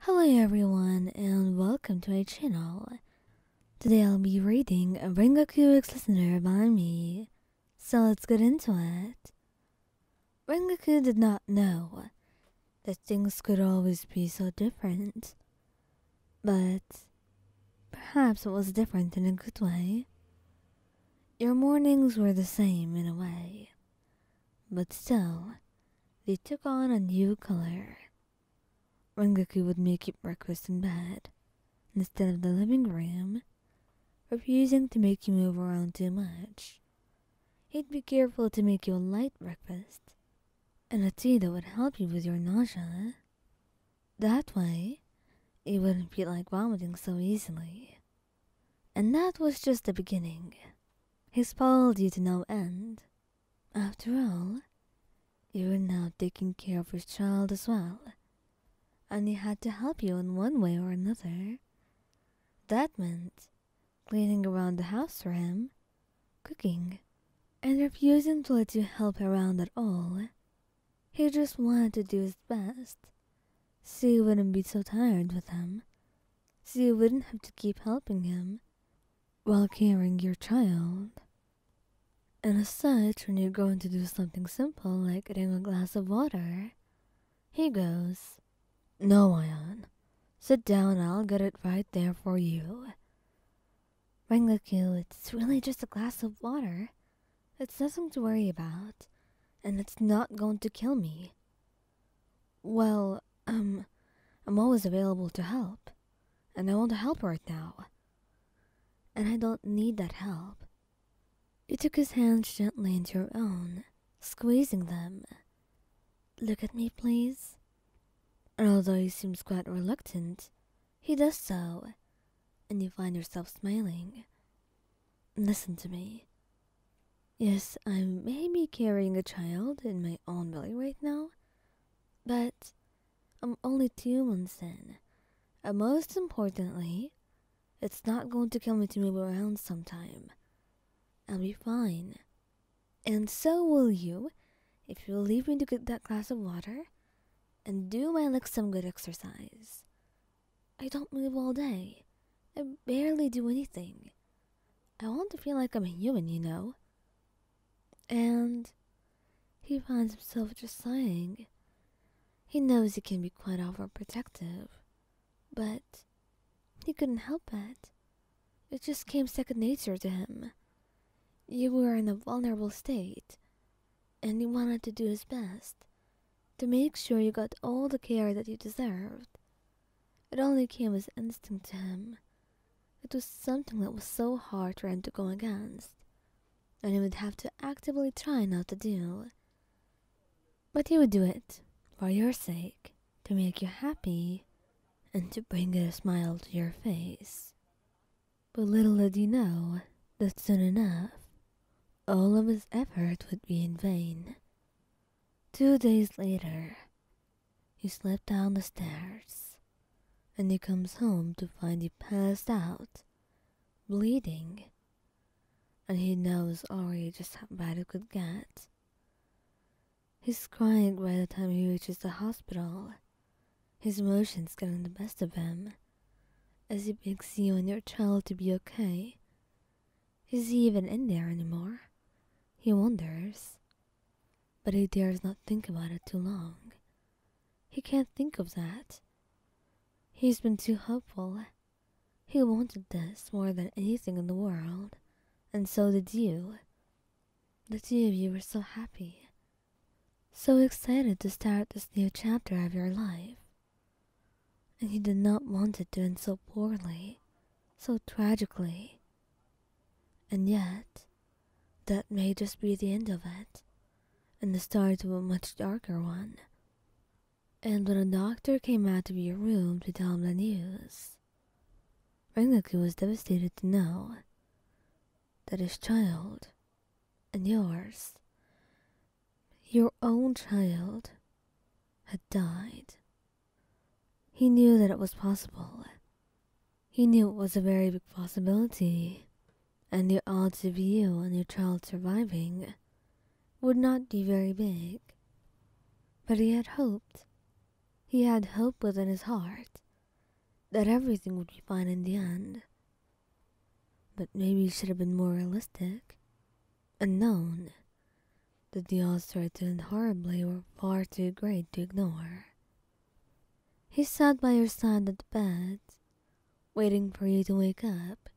Hello everyone and welcome to my channel. Today I'll be reading a Rengoku Listener by me, so let's get into it. Rengoku did not know that things could always be so different, but perhaps it was different in a good way. Your mornings were the same in a way, but still, they took on a new color. Rengoku would make you breakfast in bed, instead of the living room, refusing to make you move around too much. He'd be careful to make you a light breakfast, and a tea that would help you with your nausea. That way, you wouldn't feel like vomiting so easily. And that was just the beginning. He spoiled you to no end. After all, you were now taking care of his child as well, and he had to help you in one way or another. That meant cleaning around the house for him, cooking, and refusing to let you help around at all. He just wanted to do his best, so you wouldn't be so tired with him so you wouldn't have to keep helping him while carrying your child. And as such, when you're going to do something simple like getting a glass of water, he goes, No, Ion. Sit down, I'll get it right there for you. Rengoku, it's really just a glass of water. It's nothing to worry about, and it's not going to kill me. Well, um, I'm always available to help, and I want to help right now. And I don't need that help. You took his hands gently into your own, squeezing them. Look at me, please. And although he seems quite reluctant, he does so, and you find yourself smiling. Listen to me. Yes, I may be carrying a child in my own belly right now, but I'm only two months in. And most importantly, it's not going to kill me to move around sometime. I'll be fine. And so will you, if you'll leave me to get that glass of water and do my legs some good exercise. I don't move all day. I barely do anything. I want to feel like I'm a human, you know. And he finds himself just sighing. He knows he can be quite overprotective, but he couldn't help it. It just came second nature to him. You were in a vulnerable state, and he wanted to do his best to make sure you got all the care that you deserved. It only came as instinct to him. It was something that was so hard for him to go against, and he would have to actively try not to do. But he would do it, for your sake, to make you happy, and to bring a smile to your face. But little did he know that soon enough, all of his effort would be in vain. Two days later, he slips down the stairs, and he comes home to find he passed out, bleeding, and he knows already just how bad it could get. He's crying by the time he reaches the hospital, his emotions getting the best of him, as he begs you and your child to be okay. Is he even in there anymore? He wonders. But he dares not think about it too long. He can't think of that. He's been too hopeful. He wanted this more than anything in the world, and so did you. The two of you were so happy, so excited to start this new chapter of your life. And you did not want it to end so poorly, so tragically. And yet, that may just be the end of it, and the start of a much darker one. And when a doctor came out of your room to tell him the news, Rengoku was devastated to know that his child and yours, your own child, had died. He knew that it was possible. He knew it was a very big possibility, and the odds of you and your child surviving would not be very big. But he had hoped. He had hope within his heart that everything would be fine in the end. But maybe you should have been more realistic and known that the odds threatened horribly were far too great to ignore. He sat by your side at the bed, waiting for you to wake up.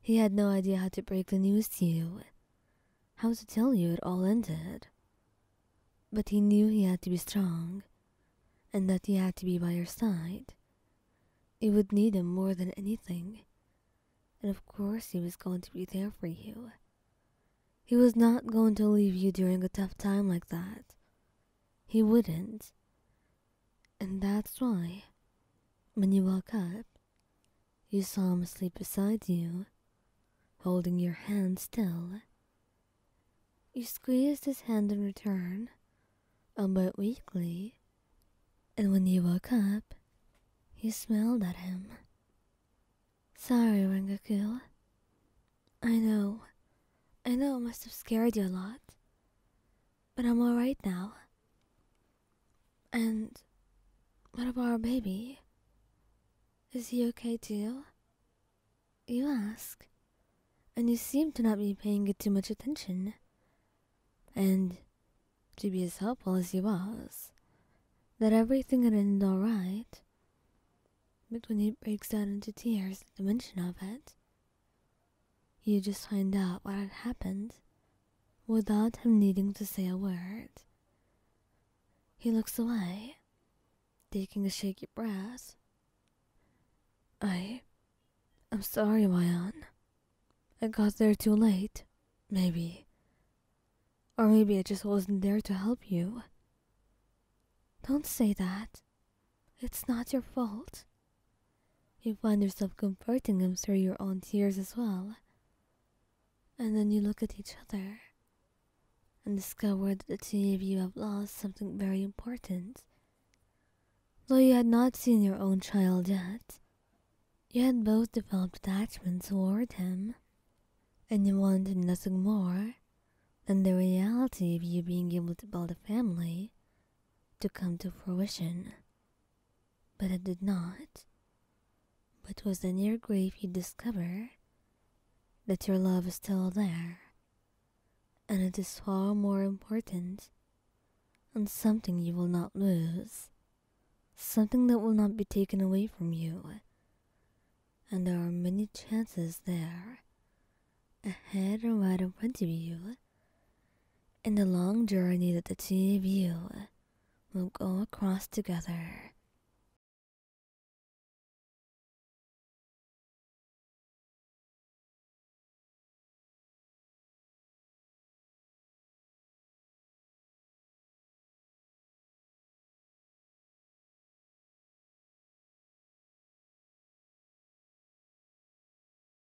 He had no idea how to break the news to you, how to tell you it all ended, but he knew he had to be strong, and that he had to be by your side. He would need him more than anything, and of course he was going to be there for you. He was not going to leave you during a tough time like that. He wouldn't. And that's why, when you woke up, you saw him asleep beside you, holding your hand still. You squeezed his hand in return, a bit weakly, and when you woke up, you smiled at him. Sorry, Rengoku. I know, I know it must have scared you a lot, but I'm alright now. And what about our baby? Is he okay too? You ask, and you seem to not be paying it too much attention. And to be as helpful as he was, that everything had ended all right. But when he breaks down into tears at the mention of it, you just find out what had happened without him needing to say a word. He looks away, taking a shaky breath. I. I'm sorry, Wyan. I got there too late, maybe. Or maybe I just wasn't there to help you. Don't say that. It's not your fault. You find yourself comforting him through your own tears as well. And then you look at each other and discover that the two of you have lost something very important. Though you had not seen your own child yet, you had both developed attachment toward him, and you wanted nothing more than the reality of you being able to build a family to come to fruition but it did not. But was the near grave you discover that your love is still there, and it is far more important and something you will not lose, something that will not be taken away from you. And there are many chances there, ahead or right in front of you, in the long journey that the two of you will go across together.